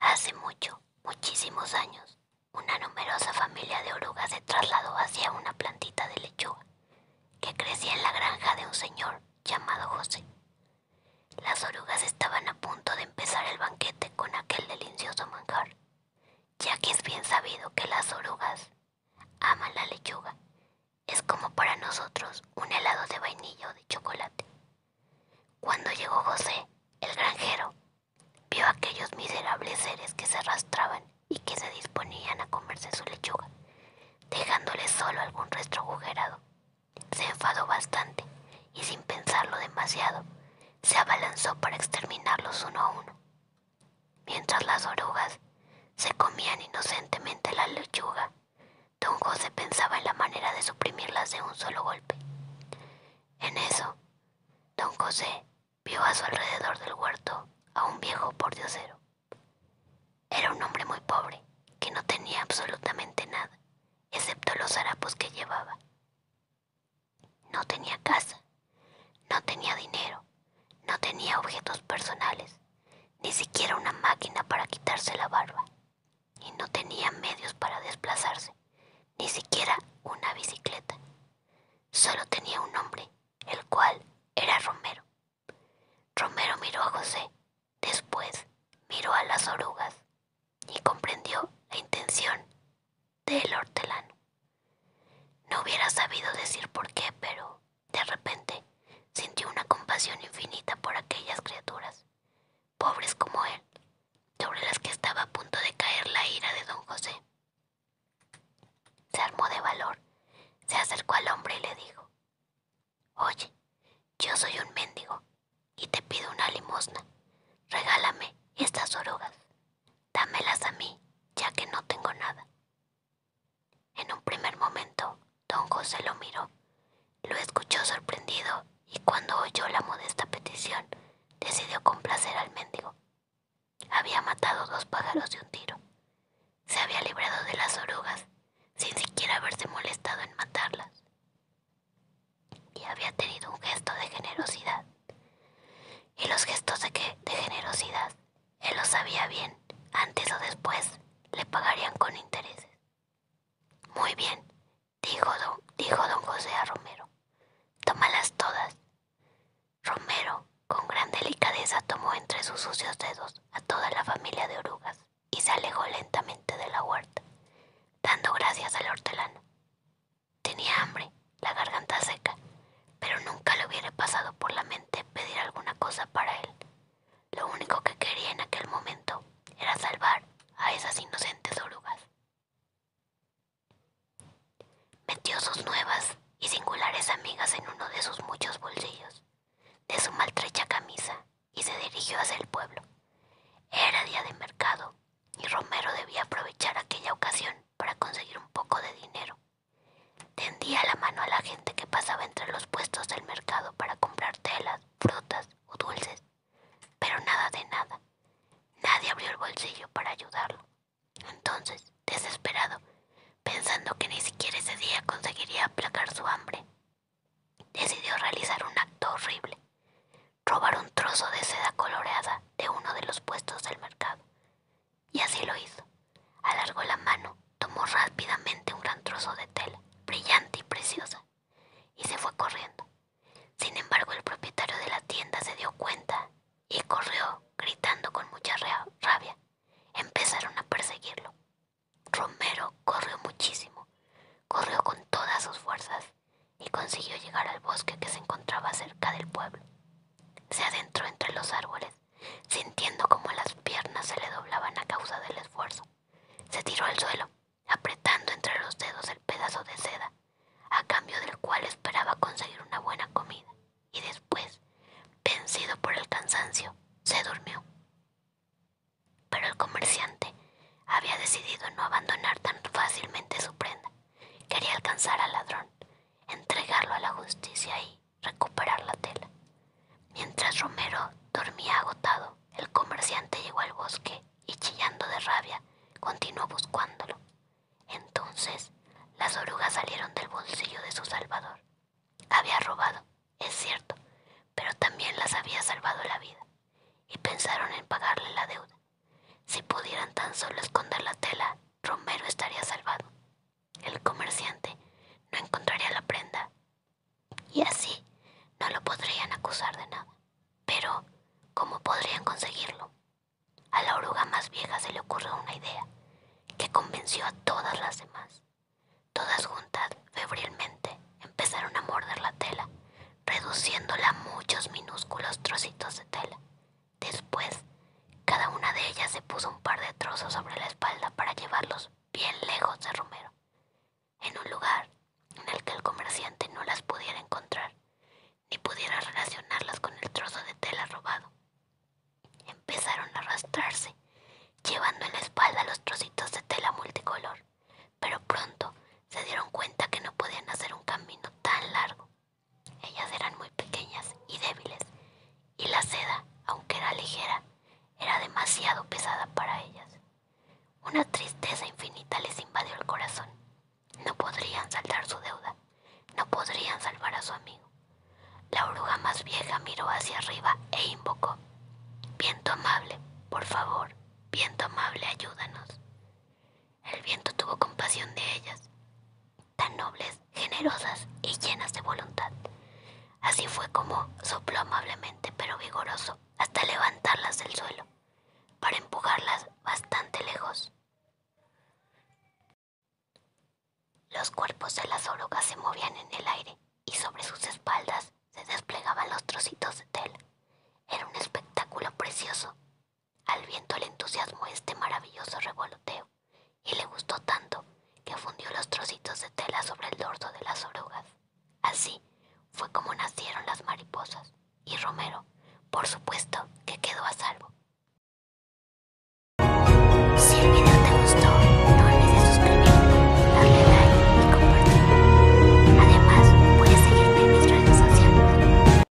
Hace mucho, muchísimos años, una numerosa familia de orugas se trasladó hacia una plantita de lechuga que crecía en la granja de un señor llamado José. Las orugas estaban a punto de empezar el banquete con aquel delicioso manjar, ya que es bien sabido que las orugas aman la lechuga. Es como para nosotros un helado de vainilla o de chocolate. Cuando llegó José, el granjero, vio a aquellos miserables seres que se arrastraban y que se disponían a comerse su lechuga, dejándole solo algún resto agujerado. Se enfadó bastante y sin pensarlo demasiado, se abalanzó para exterminarlos uno a uno. Mientras las orugas se comían inocentemente la lechuga, don José pensaba en la manera de suprimirlas de un solo golpe. En eso, don José vio a su alrededor del huerto a un viejo pordiosero. Era un hombre muy pobre, que no tenía absolutamente nada, excepto los harapos que llevaba. No tenía casa, no tenía dinero, no tenía objetos personales, ni siquiera una máquina para quitarse la barba, y no tenía medios para desplazarse, ni siquiera una bicicleta. Solo tenía un hombre el cual era Romero. Romero miró a José, después miró a las orugas y comprendió la intención del hortelano. No hubiera sabido decir por qué, pero de repente sintió una compasión infinita por aquellas criaturas, pobres como él, sobre las que estaba a punto de caer la ira de don José. Se armó de valor, se acercó al hombre y le dijo, Oye, yo soy un mendigo y te pido una limosna. Regálame estas orugas. Dámelas a mí, ya que no tengo nada. En un primer momento, don José lo miró, lo escuchó sorprendido y cuando oyó la modesta petición, decidió complacer al mendigo. Había matado dos pájaros de un tiro. Se había librado de las orugas sin siquiera haberse molestado en matarlas. Y había tenido un gesto de generosidad. Y los gestos de, qué? de generosidad, él los sabía bien, antes o después le pagarían con intereses. Muy bien, dijo don, dijo don José a Romero. Tómalas todas. Romero, con gran delicadeza, tomó entre sus sucios dedos a toda la familia de orugas y se alejó lentamente de la huerta, dando gracias al hortelano. Tenía hambre, la garganta seca, pero nunca le hubiera pasado por la mente pedir alguna cosa para él. Lo único que quería en aquel momento era salvar a esas inocentes orugas. Metió sus nuevas y singulares amigas en uno de sus muchos bolsillos, de su maltrecha camisa, y se dirigió hacia el pueblo. Era día de mercado, y Romero debía aprovechar aquella ocasión para conseguir un poco de dinero. Tendía la mano a la gente que pasaba entre los puestos del mercado para comprar telas, frutas o dulces. Pero nada de nada. Nadie abrió el bolsillo para ayudarlo. Entonces, desesperado, pensando que ni siquiera ese día conseguiría aplacar su hambre, decidió realizar un acto horrible, robar un trozo de seda coloreada de uno de los puestos del mercado. Y así lo hizo. Alargó la mano, tomó rápidamente un gran trozo de tela, brillante y preciosa, y se fue corriendo. Sin embargo, el propietario de la tienda se dio cuenta y corrió gritando con mucha rabia. Empezaron a perseguirlo. Romero corrió muchísimo, corrió con todas sus fuerzas y consiguió llegar al bosque que se encontraba cerca del pueblo. Se adentró entre los árboles, sintiendo como las piernas se le doblaban a causa del esfuerzo. Se tiró al suelo, apretando entre los dedos el pedazo de seda, a cambio del cual esperaba conseguir una buena comida, y después, vencido por el cansancio, se durmió. Pero el comerciante había decidido no abandonar tan fácilmente su prenda. Quería alcanzar al ladrón, entregarlo a la justicia y, recuperar la tela. Mientras Romero dormía agotado, el comerciante llegó al bosque y chillando de rabia, continuó buscándolo. Entonces, las orugas salieron del bolsillo de su salvador. Había robado, es cierto, pero también las había salvado la vida, y pensaron en pagarle la deuda. Si pudieran tan solo esconder la tela, Romero estaría salvado. El comerciante no encontraría la prenda y así no lo podrían acusar de nada. Pero, ¿cómo podrían conseguirlo? A la oruga más vieja se le ocurrió una idea que convenció a todas las demás. Todas juntas, febrilmente, empezaron a morder la tela, reduciéndola a muchos minúsculos trocitos de tela. Después, cada una de ellas se puso un par de trozos sobre la espalda para llevarlos bien lejos de Romero, en un lugar en el que el comerciante no las pudiera encontrar, ni pudiera relacionarlas con el trozo de tela robado. Empezaron a arrastrarse, llevando en la espalda los trocitos de tela multicolor, pero pronto se dieron cuenta que no podían hacer un camino tan largo. Ellas eran muy pequeñas y débiles, y la seda, aunque era ligera, era demasiado pesada para ellas. Una tristeza infinita les invadió el corazón. No podrían saltar su deuda, no podrían salvar a su amigo. La oruga más vieja miró hacia arriba e invocó, Viento amable, por favor, viento amable, ayúdanos. El viento tuvo compasión de ellas tan nobles, generosas y llenas de voluntad. Así fue como sopló amablemente pero vigoroso hasta levantarlas del suelo, para empujarlas bastante lejos. Los cuerpos de las orugas se movían en el aire y sobre sus espaldas se desplegaban los trocitos de tela. Era un espectáculo precioso, al viento le entusiasmó este maravilloso revoloteo y le gustó tanto que fundió los trocitos de tela sobre el dorso de las orugas. Así fue como nacieron las mariposas y Romero, por supuesto, que quedó a salvo. Si el video te gustó, no olvides suscribirte, darle like y Además, puedes seguirme en mis redes sociales.